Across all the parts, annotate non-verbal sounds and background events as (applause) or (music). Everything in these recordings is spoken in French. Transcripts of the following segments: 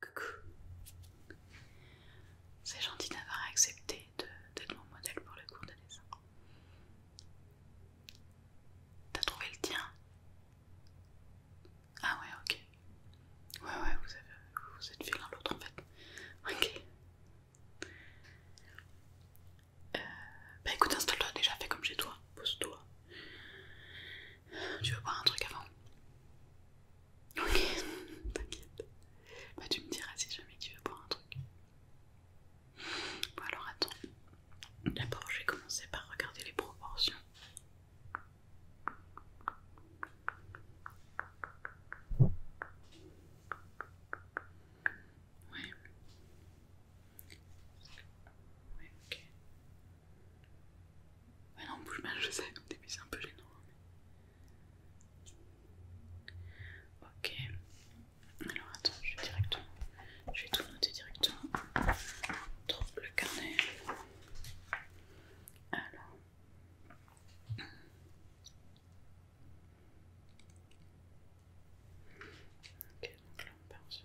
Coucou. C'est gentil d'avoir accepté d'être mon modèle pour le cours de dessin. T'as trouvé le tien Ah ouais, ok. Ouais, ouais, vous, vous êtes fait l'un l'autre en fait. Ok. Euh, bah écoute, installe-toi déjà, fais comme chez toi, pose-toi. Tu veux boire un truc avant Ok, (laughs) t'inquiète. Bah, tu me diras si jamais tu veux boire un truc. Bon, alors attends. D'abord, je vais commencer par regarder les proportions. Ouais. Ouais, ok. Ouais non, bouge mal, je sais, au début c'est un peu gênant. Hein, ok, alors attends, je vais directement, je vais tout noter directement dans le carnet. Alors. Ok, donc là on part sur.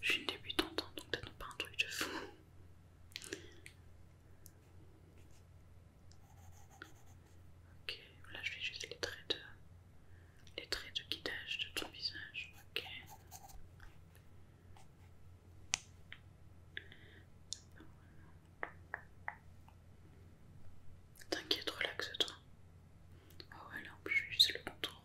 Je suis une débutante, hein, donc t'as pas un truc de fou. Ok, là je vais juste les traits de, les traits de guidage de ton visage. Ok. T'inquiète, relaxe-toi. Oh ah ouais, là je juste le contour.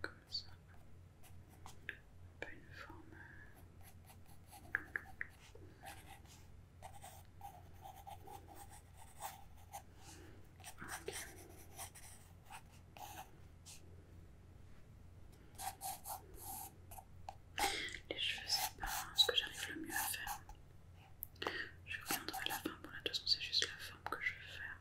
comme ça. Un peu une forme. Ok. Les cheveux, c'est pas ce que j'arrive le mieux à faire. Je reviendrai à la fin. Bon, là, de c'est juste la forme que je veux faire.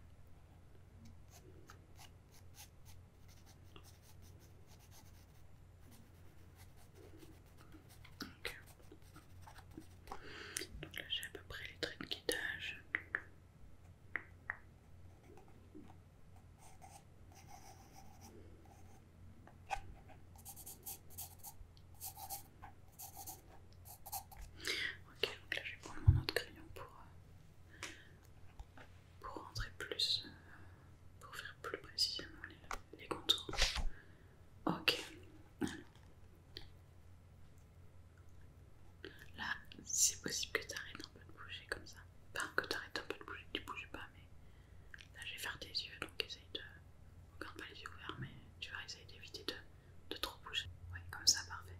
Ok, Donc là j'ai à peu près les traits de guidage. Ok, donc là je vais prendre mon autre crayon pour euh, pour rentrer plus, euh, pour faire plus précisément les, contours. Ok, Là, c'est possible que tu arrêtes un peu de bouger comme ça. enfin, que tu arrêtes un peu de bouger, tu bouges pas, mais là je vais faire tes yeux donc essaye de. Regarde pas les yeux ouverts, mais tu vas essayer d'éviter de, de trop bouger. Ouais, comme ça, parfait.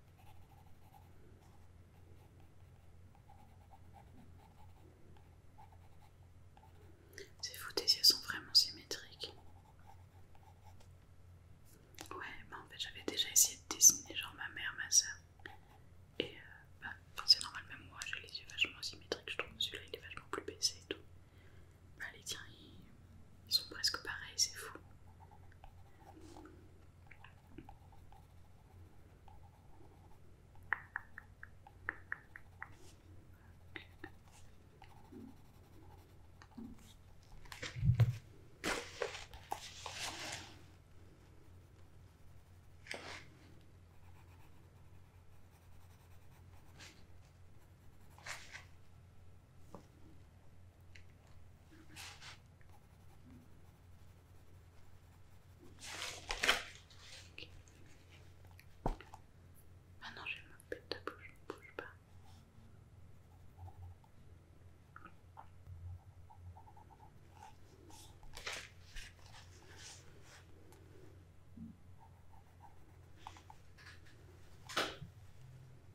C'est fou, tes yeux sont vraiment symétriques. Ouais, mais bah, en fait j'avais déjà essayé de dessiner genre ma mère, ma soeur. Et euh, bah, c'est normal, même moi j'ai les yeux vachement symétriques, je trouve celui-là il est vachement plus baissé et tout. Allez bah, les tiens, ils sont presque pareils, c'est fou. Maintenant Ah non, me ma de bouche, bouge pas.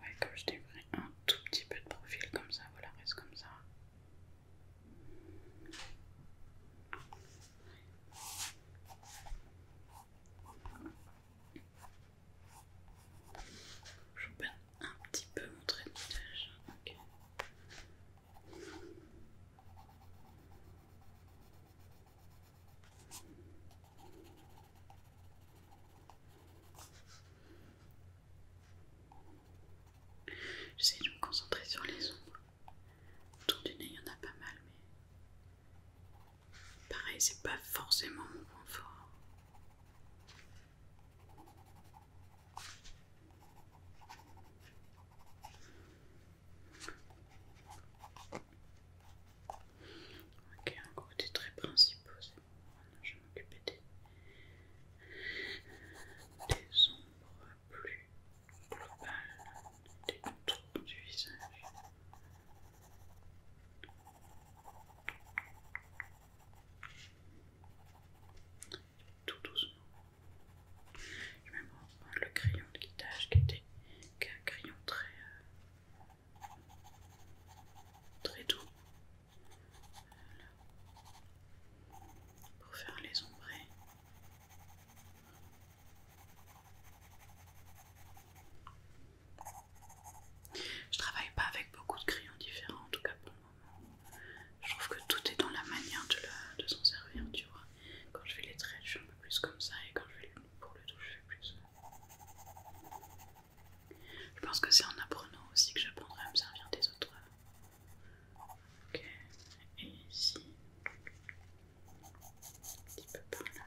Ouais, comme je t'ai un tout petit peu de profil comme ça, voilà, reste comme ça. Je peux un petit peu montrer le visage. ok. J'essaie de me concentrer sur les ombres. Autour du nez, il y en a pas mal, mais pareil, c'est pas forcément mon point fort. Ok, un côté très principal, c'est bon. je vais m'occuper des... ombres plus globales, des contours du visage. Tout doucement. Je vais même le crayon de guitage qui était un crayon très euh, très doux pour faire les ombrés. Je travaille pas avec beaucoup de crayons différents, en tout cas pour le moment. Je trouve que tout est dans la manière de, de s'en servir, tu vois. Quand je fais les traits, je suis un peu plus comme ça, et quand je fais les pour le toucher plus. Je pense que c'est en apprenant aussi que j'apprendrai à me servir des autres. Ok, et ici, un petit peu par là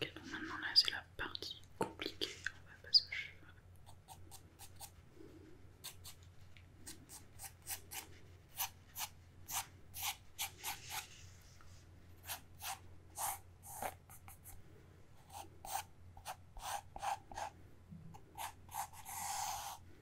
donc maintenant là c'est la partie compliquée, on va passer aux cheveux.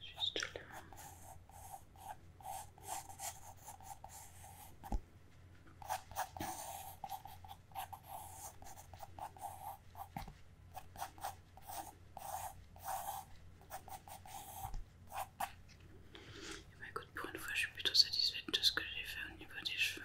juste bah là. écoute, pour une fois, je suis plutôt satisfaite de ce que j'ai fait au niveau des cheveux.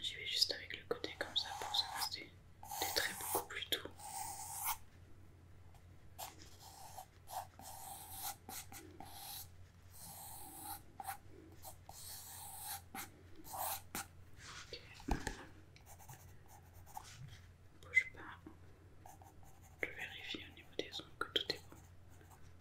J'y vais juste avec le côté comme ça pour se rester des traits beaucoup plus doux. Bouge pas. Je vérifie au niveau des ongles que tout est bon.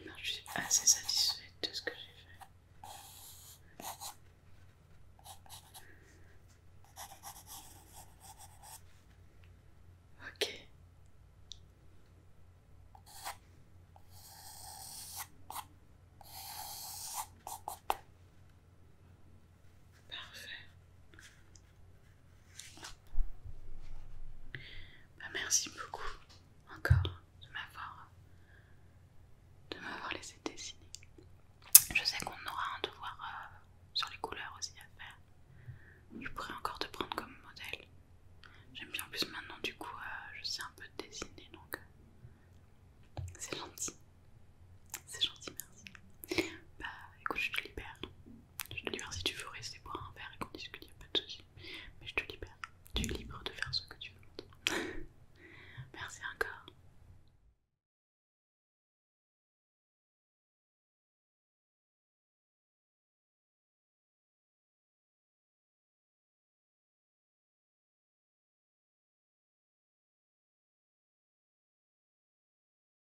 Et je suis assez satisfaite de ce que j'ai fait. Ok. Parfait. Bah, merci beaucoup encore de m'avoir de m'avoir laissé dessiner. Je sais qu'on aura un devoir euh, sur les couleurs aussi à faire. Je pourrais encore te prendre comme modèle. J'aime bien en plus maintenant du coup euh, je sais un peu dessiner donc euh, c'est gentil. C'est gentil merci. Bah écoute je te libère. Je te libère si tu veux rester pour un verre et qu'on discute, il n'y a pas de souci. Mais je te libère. Tu es libre de faire ce que tu veux. (laughs) Merci encore.